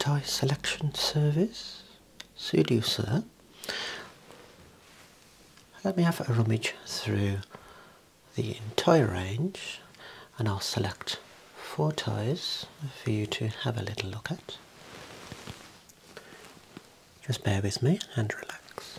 Tie Selection Service, Sudoers sir. Let me have a rummage through the entire range and I'll select four ties for you to have a little look at. Just bear with me and relax.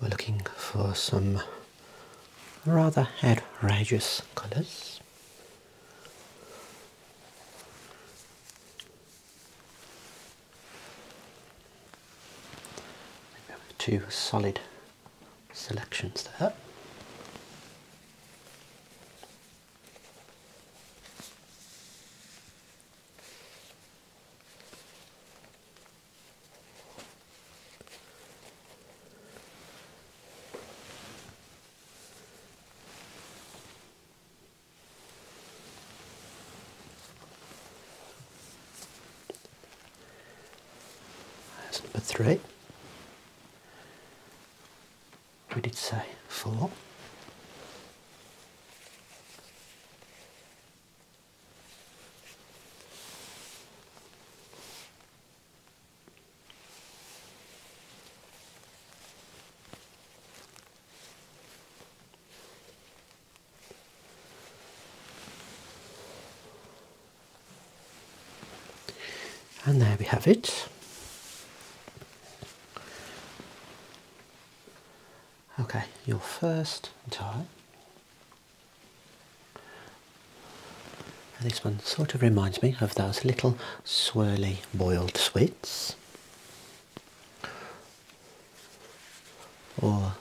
We're looking for some rather outrageous colours. two solid selections there. That's number three we did say four. And there we have it. Okay, your first tie. this one sort of reminds me of those little swirly boiled sweets. Or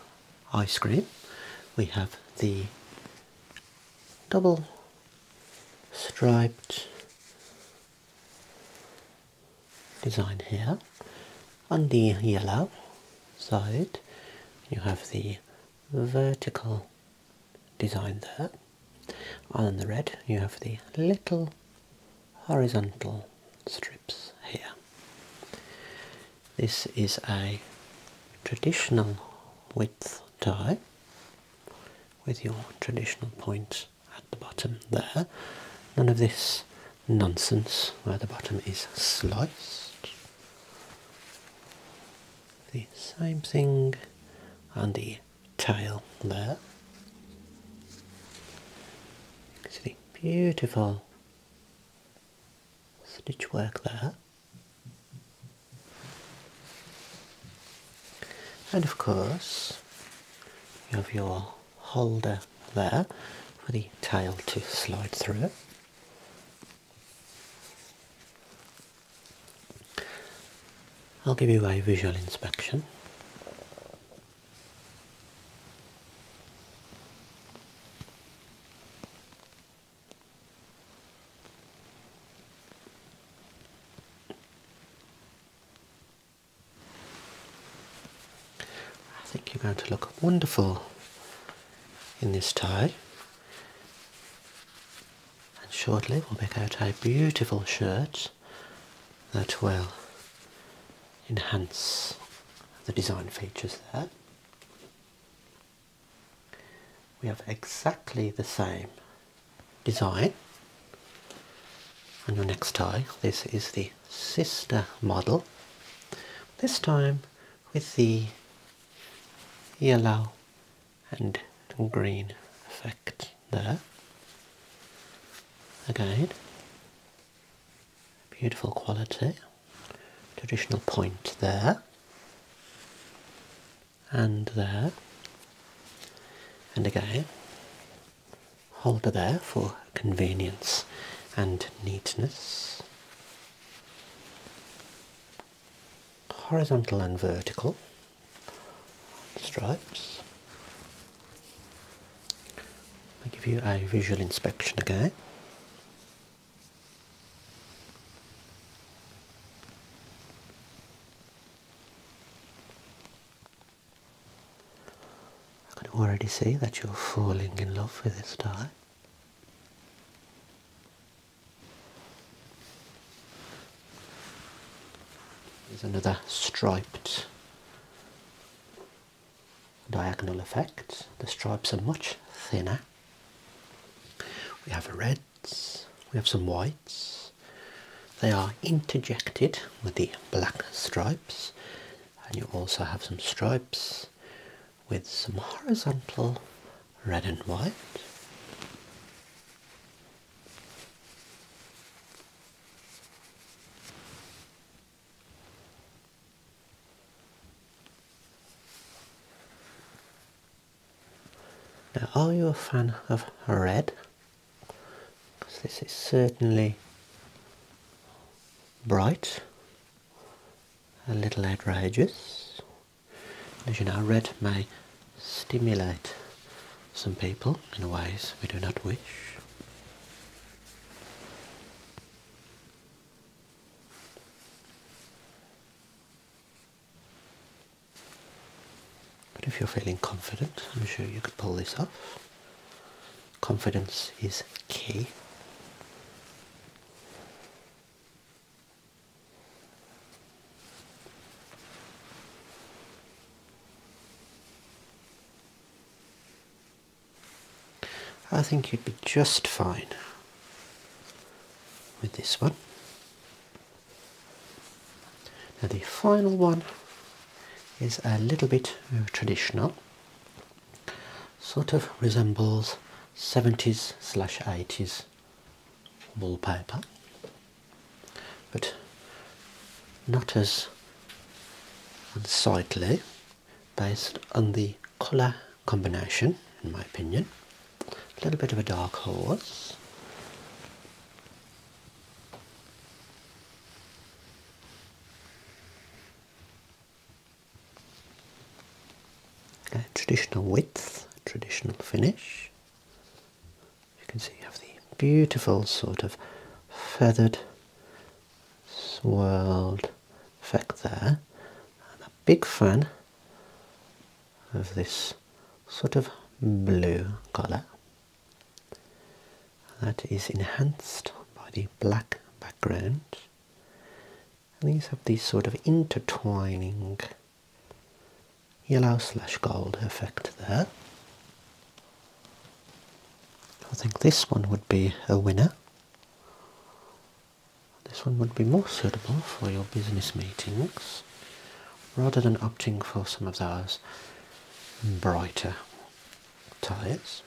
ice cream. We have the double striped design here. On the yellow side, you have the vertical design there. On the red, you have the little horizontal strips here. This is a traditional width tie with your traditional point at the bottom there. None of this nonsense where the bottom is sliced. The same thing on the tail there. See beautiful stitch work there. And of course, you have your holder there for the tail to slide through. I'll give you a visual inspection. I think you're going to look wonderful in this tie, and shortly we'll make out a beautiful shirt that will enhance the design features there. We have exactly the same design and your next tie. This is the sister model, this time with the yellow and green effect there. Again, beautiful quality, traditional point there and there and again hold it there for convenience and neatness horizontal and vertical stripes i give you a visual inspection again I can already see that you're falling in love with this dye. There's another striped diagonal effect. The stripes are much thinner. We have reds, we have some whites. They are interjected with the black stripes, and you also have some stripes with some horizontal red and white. Now, are you a fan of red? Because this is certainly bright, a little outrageous. As you know, red may stimulate some people in ways we do not wish. But if you're feeling confident, I'm sure you could pull this off. Confidence is key. I think you'd be just fine with this one. Now, the final one is a little bit traditional, sort of resembles 70s slash 80s wallpaper, but not as unsightly based on the colour combination, in my opinion a little bit of a dark horse. traditional width, traditional finish. You can see you have the beautiful sort of feathered, swirled effect there. I'm a big fan of this sort of blue colour that is enhanced by the black background and these have this sort of intertwining yellow slash gold effect there I think this one would be a winner this one would be more suitable for your business meetings rather than opting for some of those brighter tyres.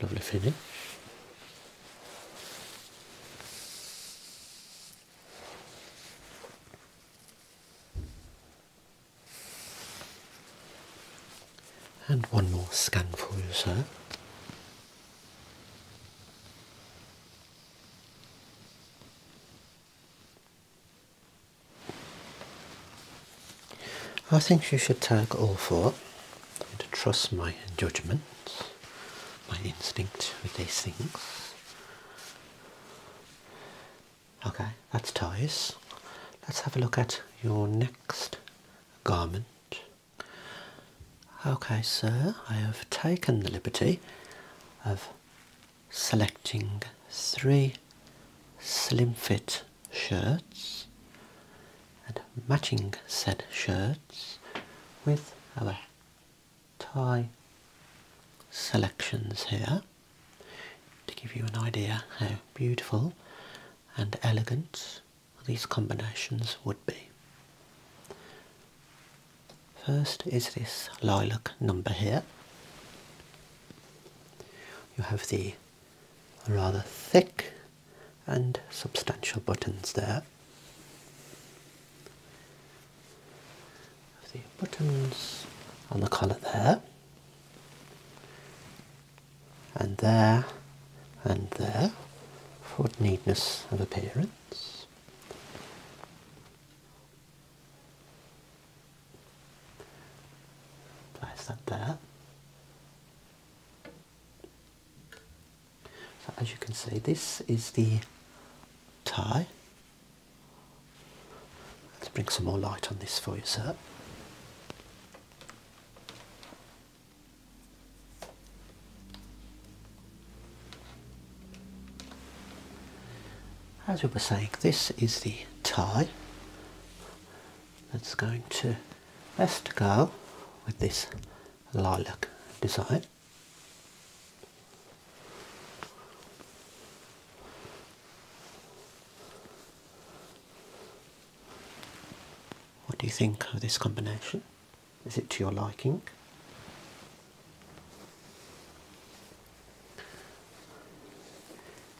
Lovely finish. And one more scan for you, sir. I think you should tag all 4 to trust my judgment, my instinct with these things. Okay, that's ties. Let's have a look at your next garment. Okay, sir, I have taken the liberty of selecting three slim fit shirts and matching said shirts with our tie selections here to give you an idea how beautiful and elegant these combinations would be. First is this lilac number here. You have the rather thick and substantial buttons there. The buttons on the collar there and there and there for neatness of appearance. Place that there. So as you can see, this is the tie. Let's bring some more light on this for you, sir. As we were saying, this is the tie that's going to best go with this lilac design. What do you think of this combination? Is it to your liking?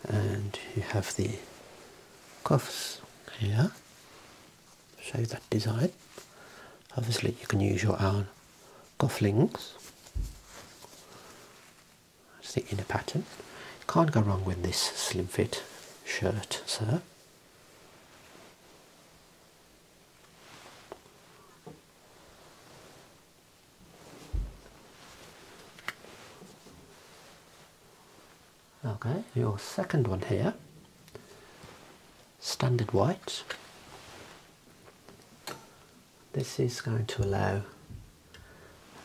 And you have the cuffs here, show that design. Obviously, you can use your own cufflinks. That's the inner pattern. can't go wrong with this slim fit shirt sir. Okay, your second one here, standard white. This is going to allow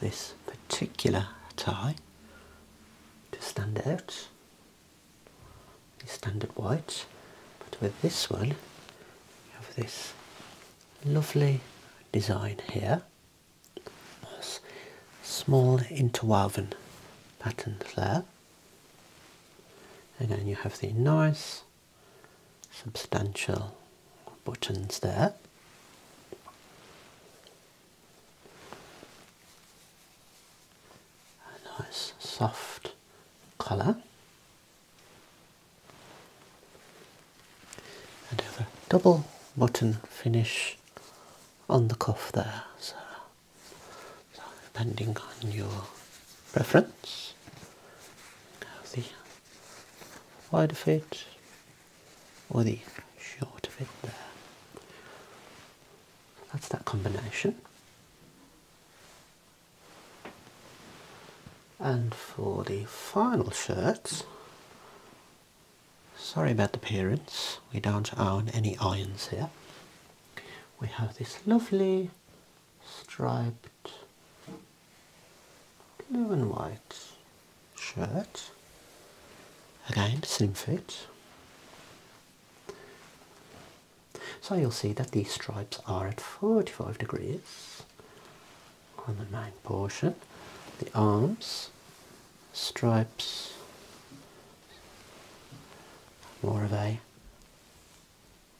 this particular tie to stand out. standard white, but with this one, you have this lovely design here. small interwoven patterns there. And then you have the nice substantial buttons there a nice soft colour and have a double button finish on the cuff there so, depending on your preference have the wider fit or the short of it there. That's that combination. And for the final shirts, sorry about the parents. we don't own any irons here. We have this lovely striped blue and white shirt. Again, slim fit. So you'll see that the stripes are at 45 degrees on the main portion. The arms, stripes, more of a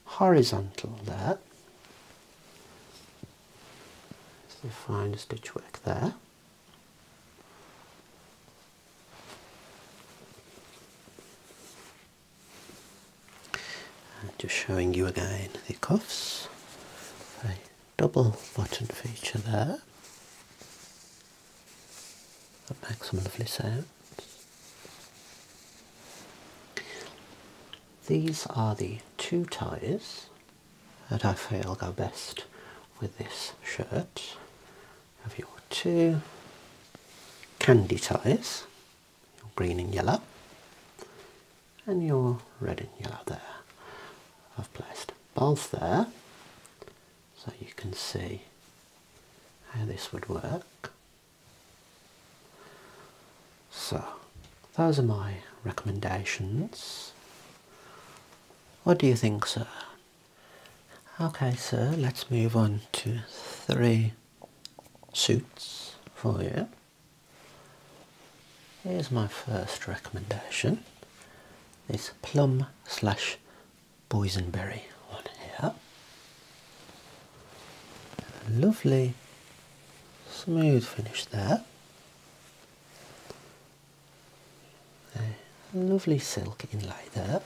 horizontal there. So you stitch work there. And just showing you again the cuffs, a double button feature there that makes some lovely sounds. These are the two ties that I feel go best with this shirt. Have your two candy ties, your green and yellow, and your red and yellow there. I've placed both there so you can see how this would work. So, those are my recommendations. What do you think, sir? Okay, sir, let's move on to three suits for you. Here's my first recommendation. This plum slash boysenberry one here. Lovely smooth finish there. A lovely silk in inlay there.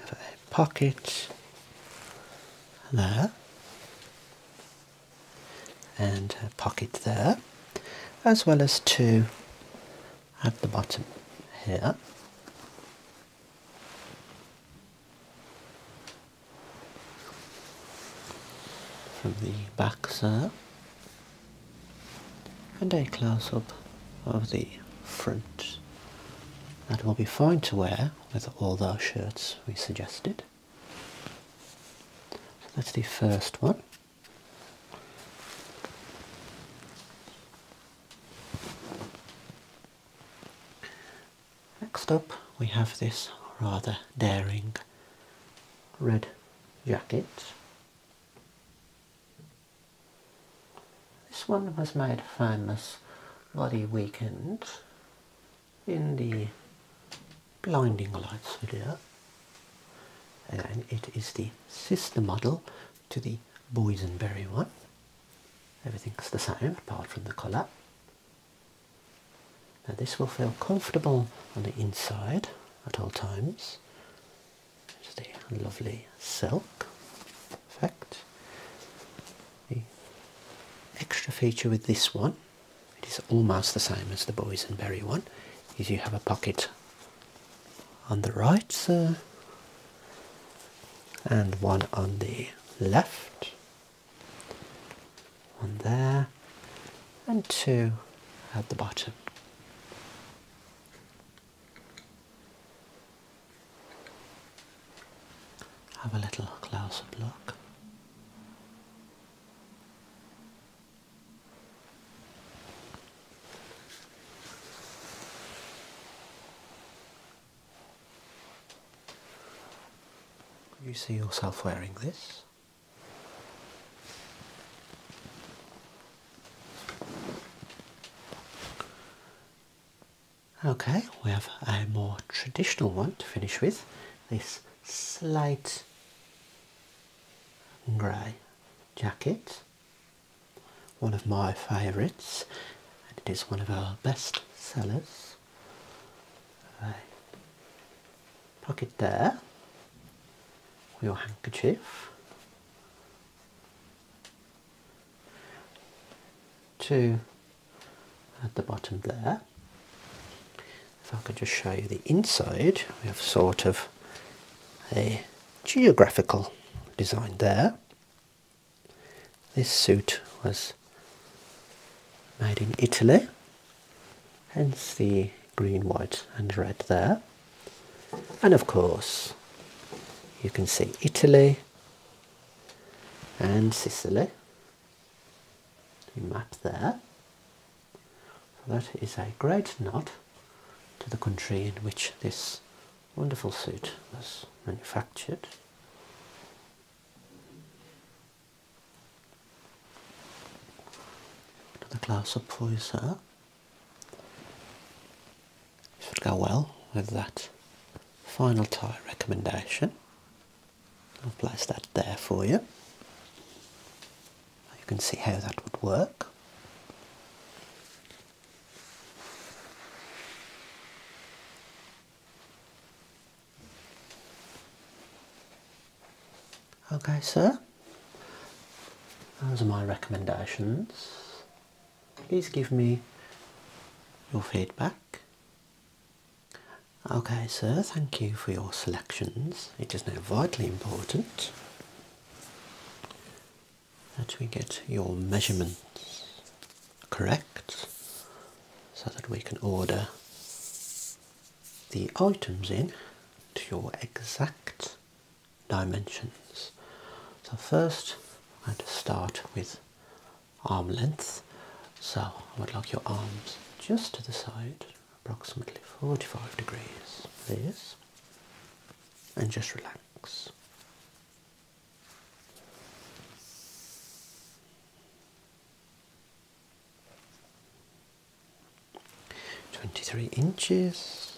Have a pocket there and a pocket there as well as two at the bottom here from the back side and a close-up of the front that will be fine to wear with all those shirts we suggested that's the first one Next up we have this rather daring red jacket. This one was made famous Bloody Weekend in the Blinding Lights video. and it is the sister model to the Boysenberry one. Everything's the same apart from the colour. Now this will feel comfortable on the inside at all times. Just a lovely silk effect. The extra feature with this one, it is almost the same as the boysenberry one, is you have a pocket on the right and one on the left one there and two at the bottom. Have a little closer look. You see yourself wearing this? Okay, we have a more traditional one to finish with this slate grey jacket, one of my favourites, and it is one of our best sellers. Right. Pocket there with your handkerchief. Two at the bottom there. If I can just show you the inside, we have sort of a geographical design there. This suit was made in Italy, hence the green, white, and red there. And of course, you can see Italy and Sicily. map there. that is a great nod to the country in which this wonderful suit was manufactured. Another glass up for you, sir. Should go well with that final tie recommendation. I'll place that there for you. You can see how that would work. Okay, sir. Those are my recommendations. Please give me your feedback. Okay, sir, thank you for your selections. It is now vitally important that we get your measurements correct so that we can order the items in to your exact dimensions. So first I'm going to start with arm length. So I would like your arms just to the side, approximately 45 degrees, please. And just relax. 23 inches.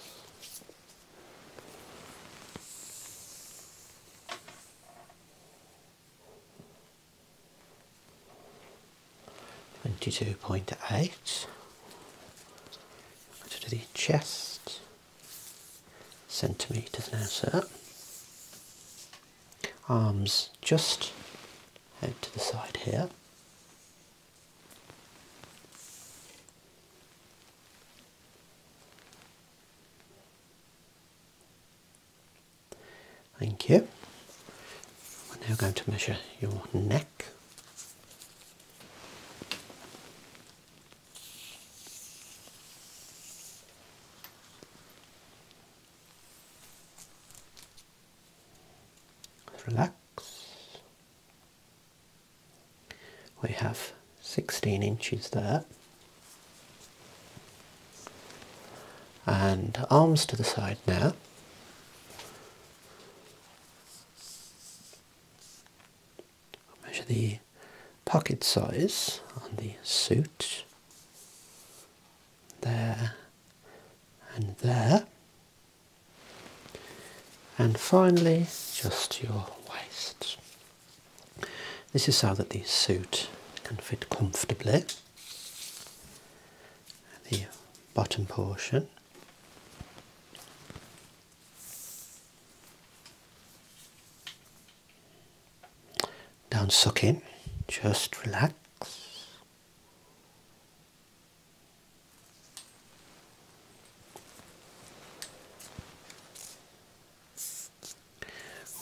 Twenty-two point eight. To the chest centimeters now, sir arms just out to the side here. Thank you. We're now going to measure your neck. Relax. We have 16 inches there. And arms to the side now. measure the pocket size on the suit there, and there. And finally, just your waist. This is so that the suit can fit comfortably. The bottom portion. Don't suck in, just relax.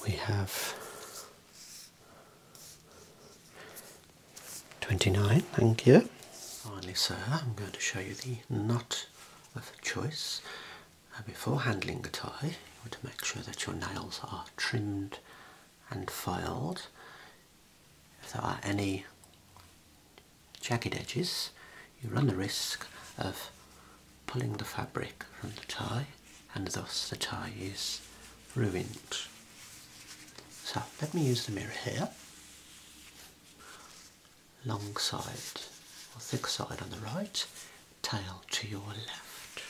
We have 29, thank you. Finally, sir, I'm going to show you the knot of choice. Uh, before handling the tie, you want to make sure that your nails are trimmed and filed. If there are any jagged edges, you run the risk of pulling the fabric from the tie and thus the tie is ruined. So let me use the mirror here, long side or thick side on the right tail to your left.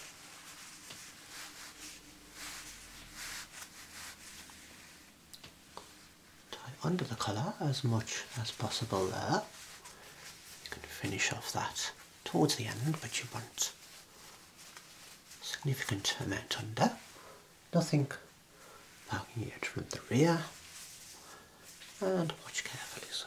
Tie under the collar as much as possible there. You can finish off that towards the end, but you want significant amount under. Nothing poking it from the rear. And watch carefully, sir.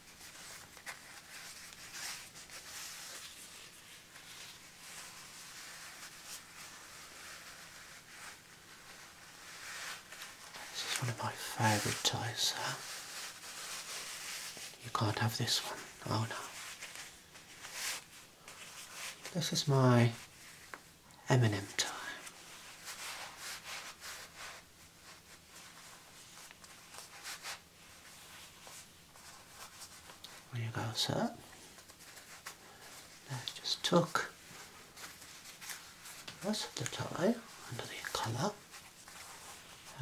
This is one of my favourite toys, huh? You can't have this one. Oh no. This is my Eminem toy. There you go, sir. just tuck the rest of the tie under the collar.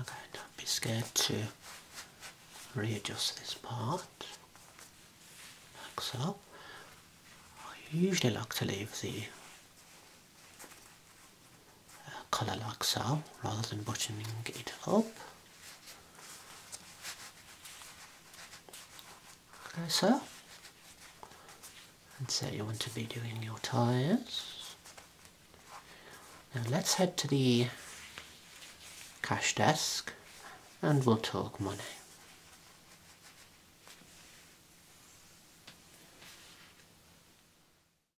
Okay, don't be scared to readjust this part, like so. I usually like to leave the Colour collar like so rather than buttoning it up. Okay, so and so you want to be doing your tires. Now let's head to the cash desk and we'll talk money.